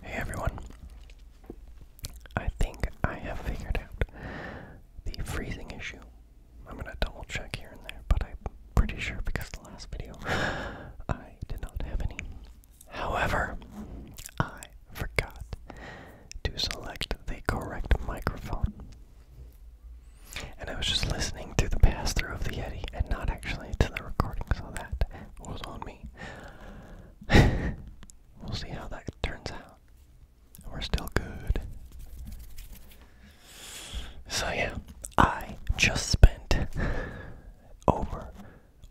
Hey everyone. I think I have figured out the freezing issue. I'm gonna double check here and there, but I'm pretty sure because the last video I did not have any. However, I forgot to select the correct microphone. And I was just listening to the pass through of the Yeti and not actually to the recording, so that was on me. we'll see how that turns out. We're still good. So, yeah, I just spent over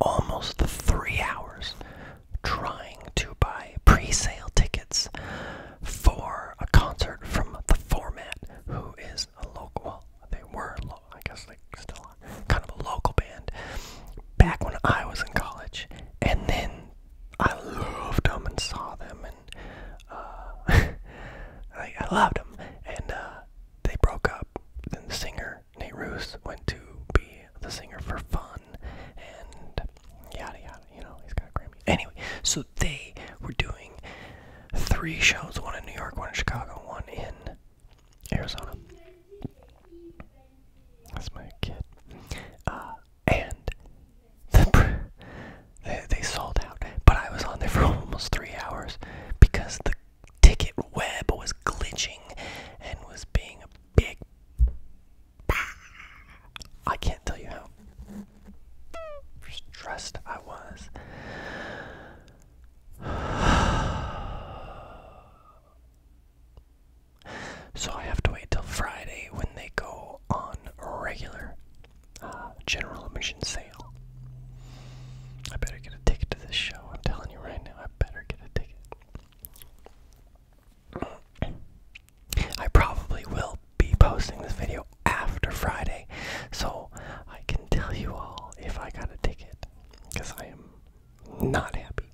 almost three hours trying to buy pre sale tickets for a concert from the format, who is a local. Well, they were, lo I guess, like still kind of a local band back when I was in college, and then I loved them and saw them, and uh, I, I loved them, and uh, they broke up. Then the singer Nate Roos went to be the singer for fun, and yada yada. You know, he's got a great Anyway, so they were doing three shows one in New York, one in Chicago, one in Arizona. That's my kid. Uh, and they, they sold out. But I was on there for almost three hours because the ticket web was glitching and was being a big. I can't tell you how stressed I was. So I have to wait till Friday when they go on regular uh, general admission sale. I better get a ticket to this show. I'm telling you right now, I better get a ticket. I probably will be posting this video after Friday, so I can tell you all if I got a ticket, because I am not happy.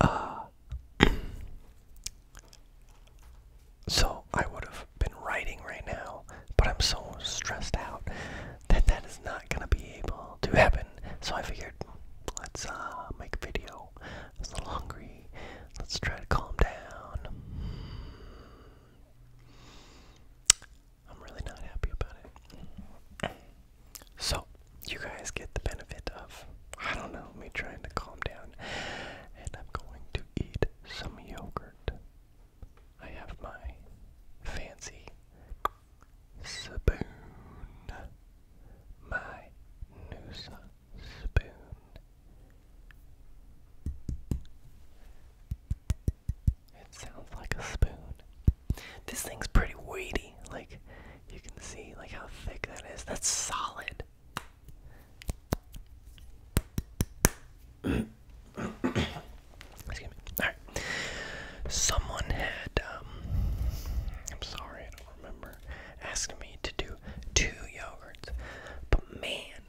Uh, so I would have been writing right now, but I'm so stressed out that that is not gonna be able to happen. So I figured, let's uh, make a video. I am a little hungry. Let's try to calm down. I'm really not happy about it. So, you guys get the benefit of, I don't know, me trying to calm down. And I'm going to eat some yogurt. I have my fancy spoon, my Noosa spoon. It sounds like a spoon. This thing's pretty weighty. Like you can see like how thick that is. That's solid. Excuse me. Alright. Someone had um, I'm sorry, I don't remember, asked me to do two yogurts. But man,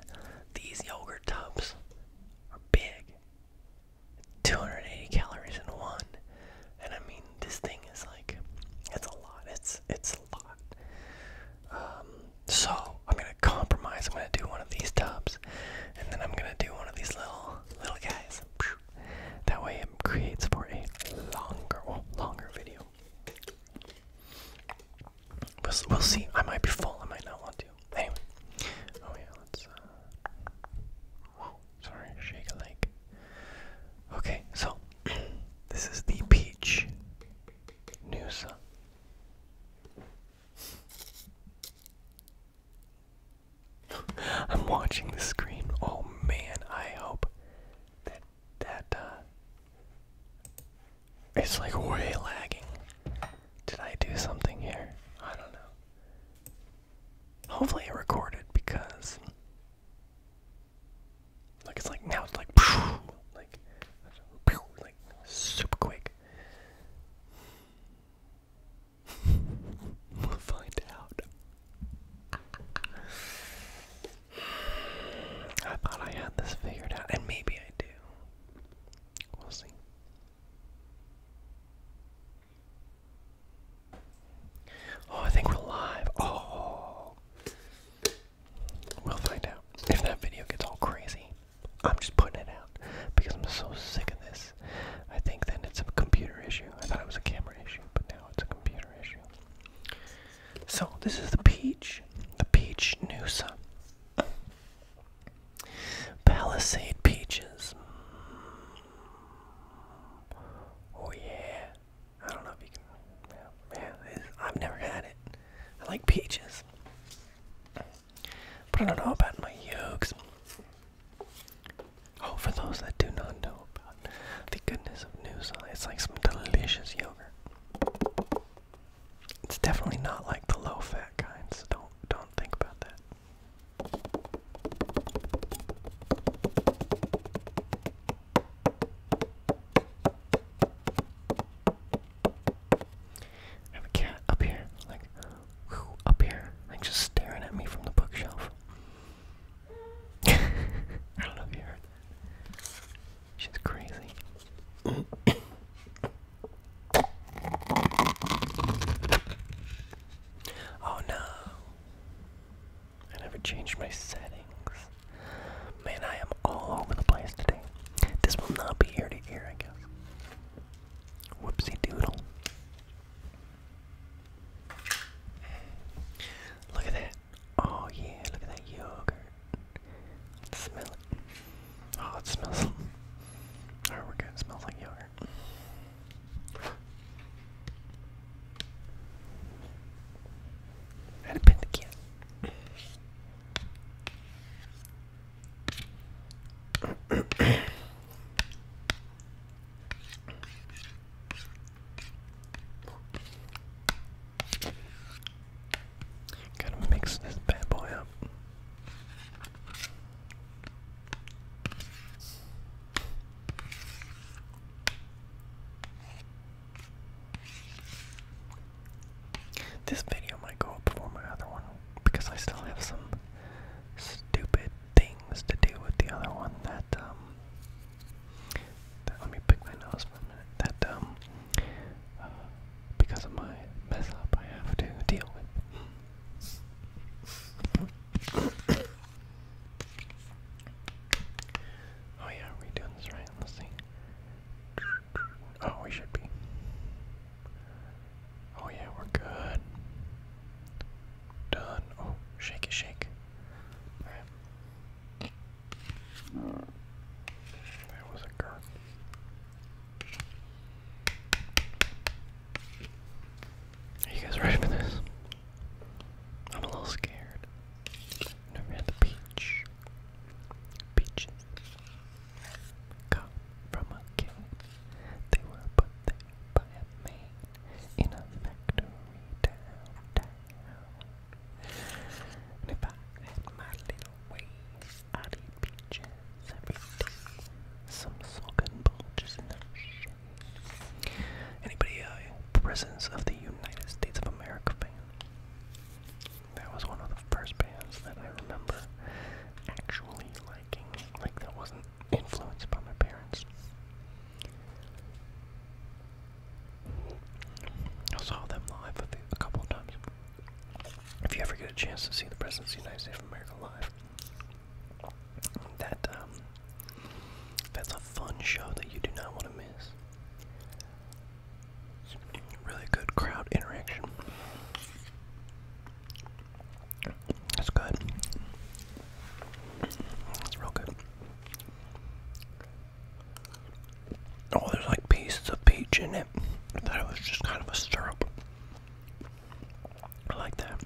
these yogurt tubs are big. 280 calories in one. And I mean, this thing is like, it's a lot. It's it's a lot. Um, so I'm gonna compromise. I'm gonna do one of these tubs, and then I'm gonna do one of these little little guys. That way, it creates for a longer, longer video. We'll, see. I might be full. I might not want to. Anyway. Oh yeah, let's. Uh, sorry. Shake a leg. Okay, so this is the peach Noosa. I'm watching the screen. Oh man, I hope that that uh, it's like way lagging. Did I do something here? I don't know. Hopefully it recorded because like it's like now it's like like super quick. we'll find out. I thought I had this figured out, and maybe I do. We'll see. Oh, I think we're live. Oh. We'll find out. If that video gets all crazy, I'm just putting it out because I'm so sick of this. I think then it's a computer issue. I thought it was a camera issue, but now it's a computer issue. So this is the peach, the peach noosa. Palisade peaches. Mm. Oh yeah. I don't know if you can. Yeah, I've never had it. I like peaches, but I don't know about my yolks. Oh, for those that do not know about the goodness of Noosa, it's like some delicious yogurt. It's definitely not like the low fat kind, so don't don't think about that. I have a cat up here, like up here, like just staring at me from the bookshelf. I don't know if you heard that. She's crazy. oh no. I never changed my settings. Man, I am all over the place today. This will not be ear to I guess. Whoopsie doodle. Look at that. Oh yeah, look at that yogurt. smell it. Oh, it smells. Alright, we're good. It smells like yogurt. How to pin the Gotta mix this bad boy up. This video might go up before my other one because I still have some stupid things to do with the other one that um, let me pick my nose for a minute. That um, uh, because of my mess up, I have to deal with. oh yeah, are we doing this right? Let's see. Oh, we should be. Oh yeah, we're good. Done. Oh, shake it, shake. That was a gun. Are you guys ready for this? I'm a little scared. Never had the peach. Peaches. Come from a king. They were put there by a man in a factory if I had my little way, I'd eat peaches every day. Some soaking bulges Anybody a uh, Presence of the United States of America band? That was one of the first bands that I remember actually liking. Like that wasn't influenced by my parents. I saw them live a, couple of times. If you ever get a chance to see the President's United States of America live, that um, that's a fun show that you do not want to miss. really good crowd interaction. That's good. That's real good. Oh, there's like pieces of peach in it. I thought it was just kind of a syrup. I like that.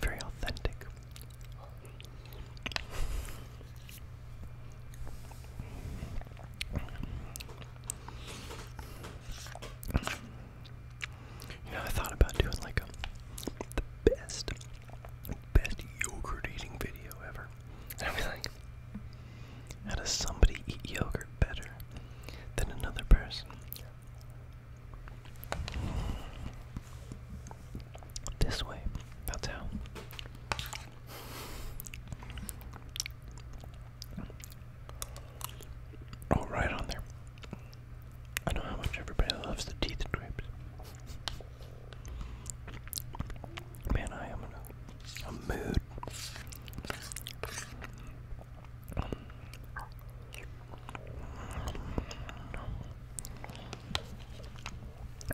Very authentic. You know, I thought about doing like the best best yogurt eating video ever. I'd be like, how does somebody eat yogurt better than another person? This way. That's how. Oh, right on there. I know how much everybody loves the teeth strips. Man, I am in a, mood. I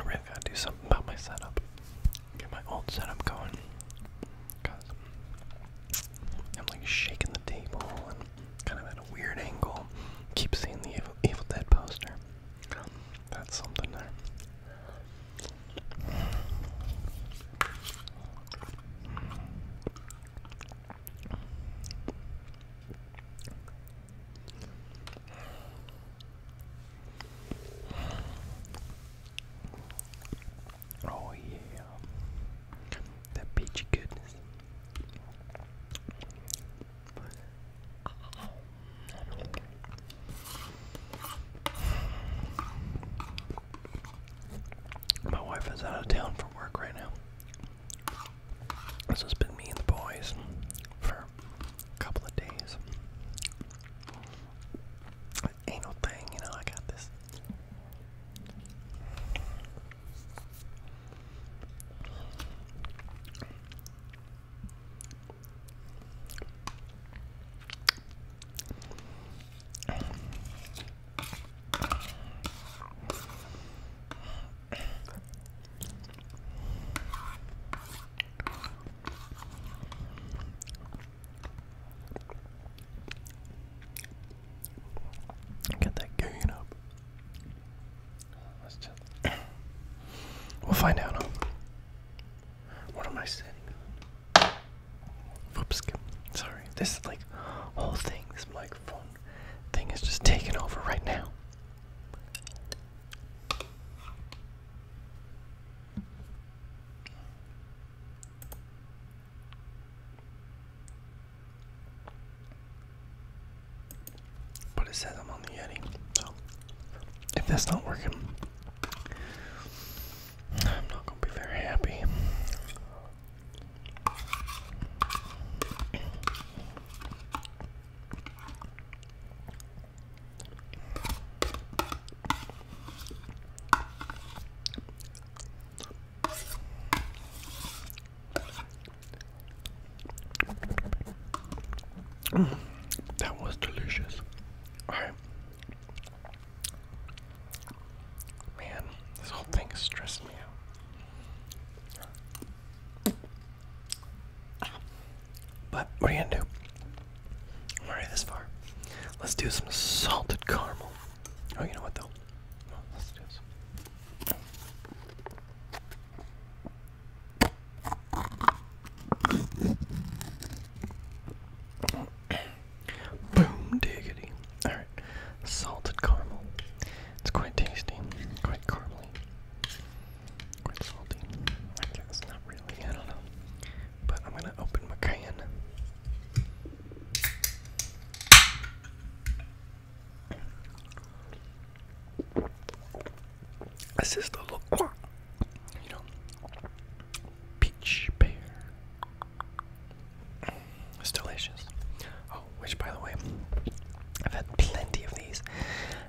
really gotta do something about my setup. Get my old setup going. Cause I'm like shaking the table and kind of at a weird angle. Keep seeing the Evil Dead poster. That's something there. Oh yeah, that peachy goodness. My wife is out of town for work right now. This has been me and the boys for a couple of days. Ain't no thing, you know, I got this. Get that gain up we'll find out. What am I sitting on? Sorry. This like whole thing. This microphone thing is just taking over right now. But it says I'm on the Yeti, so if that's not working, I'm not gonna be very happy. Mm. that was delicious. Man, this whole thing is stressing me out. But what are you gonna do? I'm already this far. Let's do some salted caramel. Oh, you know what though? let's do some. Boom diggity. Alright. Salted caramel. It's quite tasty. Quite caramely. Quite salty. I not really. I don't know. But I'm gonna open my can. This is the look, you know, peach pear. It's delicious. Oh, which by the way, I've had plenty of these,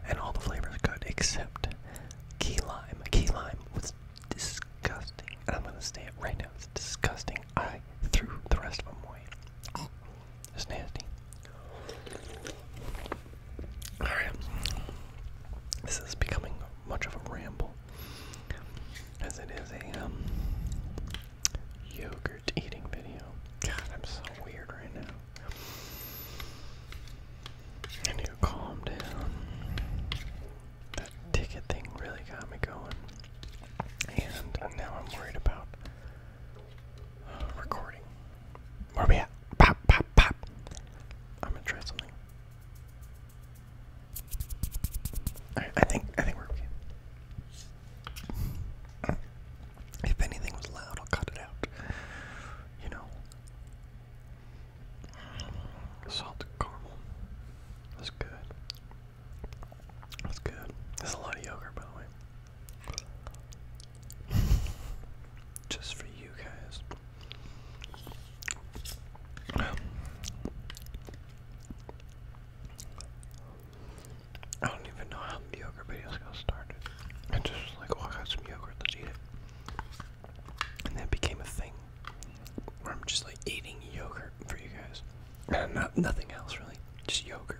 and all the flavors are good except key lime. Key lime was disgusting, and I'm gonna say it right now. It's disgusting. I threw the rest of them away. It's nasty. Alright. This is becoming much of a ramble. As it is a um, yogurt eating video. God, I'm so weird right now. I need to calm down. That ticket thing really got me going. And now I'm worried about Recording. Where we at? Pop, pop, pop. I'm gonna try something. I think I think we're okay. If anything was loud, I'll cut it out. You know. Salt caramel. That's good. That's good. There's a lot of yogurt by the way. Just for you guys. I don't even know how the yogurt videos got started. I just like, well, oh, I got some yogurt, let's eat it. And that became a thing where I'm just like eating yogurt for you guys. And not, nothing else really, just yogurt.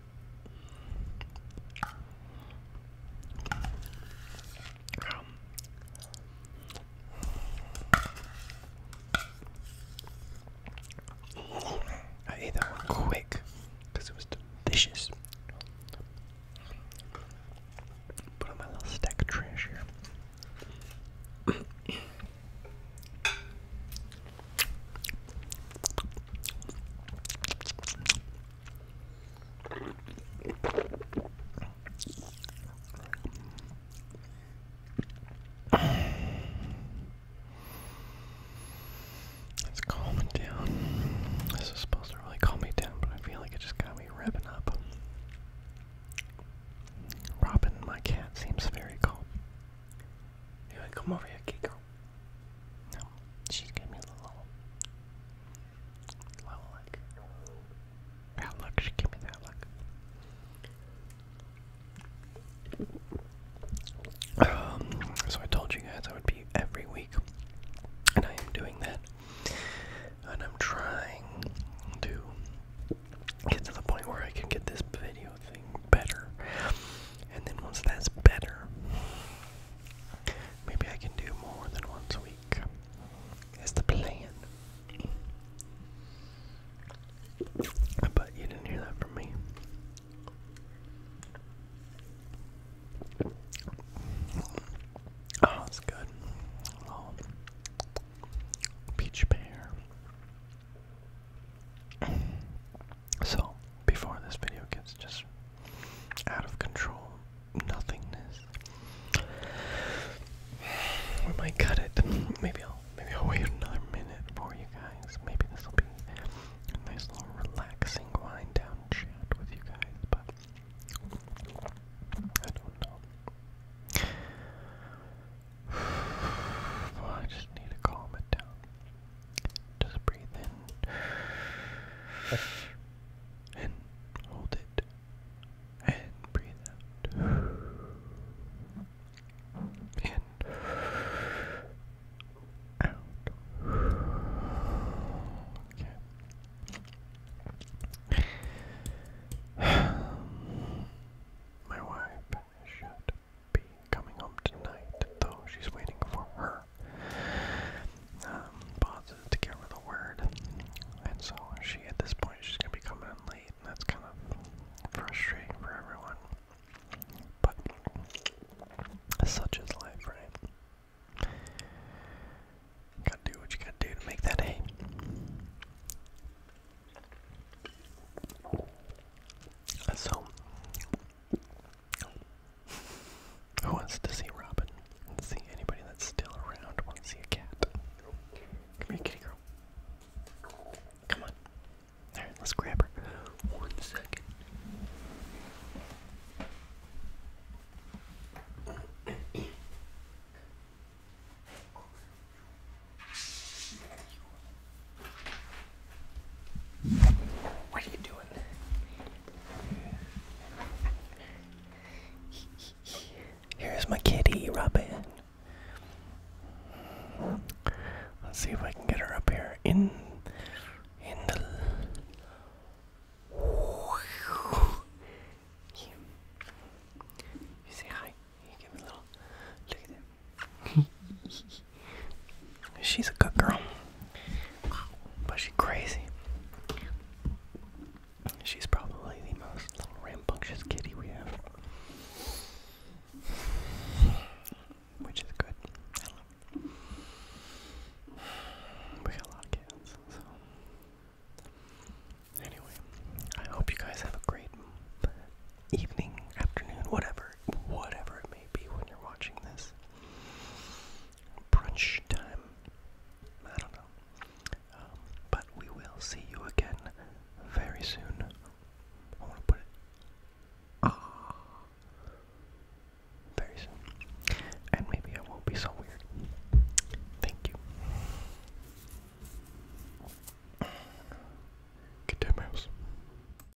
I ate that one quick because it was delicious. Put on my little stack of trash here. It's calming down. This is supposed to really calm me down, but I feel like it just got me revving up. Robin, my cat, seems very calm. Anyway, come over here, Kiko. No, she's giving me a little, little like that look. She gave me that look. Um, so I told you guys I would be every week, and I am doing that, and I'm trying to get to the point where I can get this video thing better, and then once that's better. Maybe I can do more than once a week. Is the plan. But you didn't hear that from me. Oh, it's good. Oh. Peach pear. So, before this video gets just out of control, nothingness, we might cut it. Maybe I'll maybe I'll wait another minute for you guys. Maybe this will be a nice little relaxing wind down chat with you guys. But I don't know. I just need to calm it down. Just breathe in and hold it and breathe out. In. Out. Okay. My wife should be coming home tonight, though she's waiting for her um, to give the word. And so she, at this point, she's gonna be coming late, and that's kind of frustrating for everyone. But such is life, right? gotta do what you gotta do to make that hay. So, who wants to see Robin? let see anybody that's still around wants to see a cat. Come here, kitty girl. Come on. All right, let's grab her. One second. What are you doing? Here's my kitty, Robin. Let's see if I can get her up here. In, in the. You say hi. You give a little. Look at him. She's a good girl. But she's crazy. She's probably the most little rambunctious kitty we have. Which is good. We got a lot of cats, so. Anyway, I hope you guys have a great evening, afternoon, whatever whatever, it may be when you're watching this. Brunch time. I don't know. Um, but we will see you again very soon. I want to put it. Ah. Very soon. And maybe I won't be so weird. Thank you. Good day, mouse.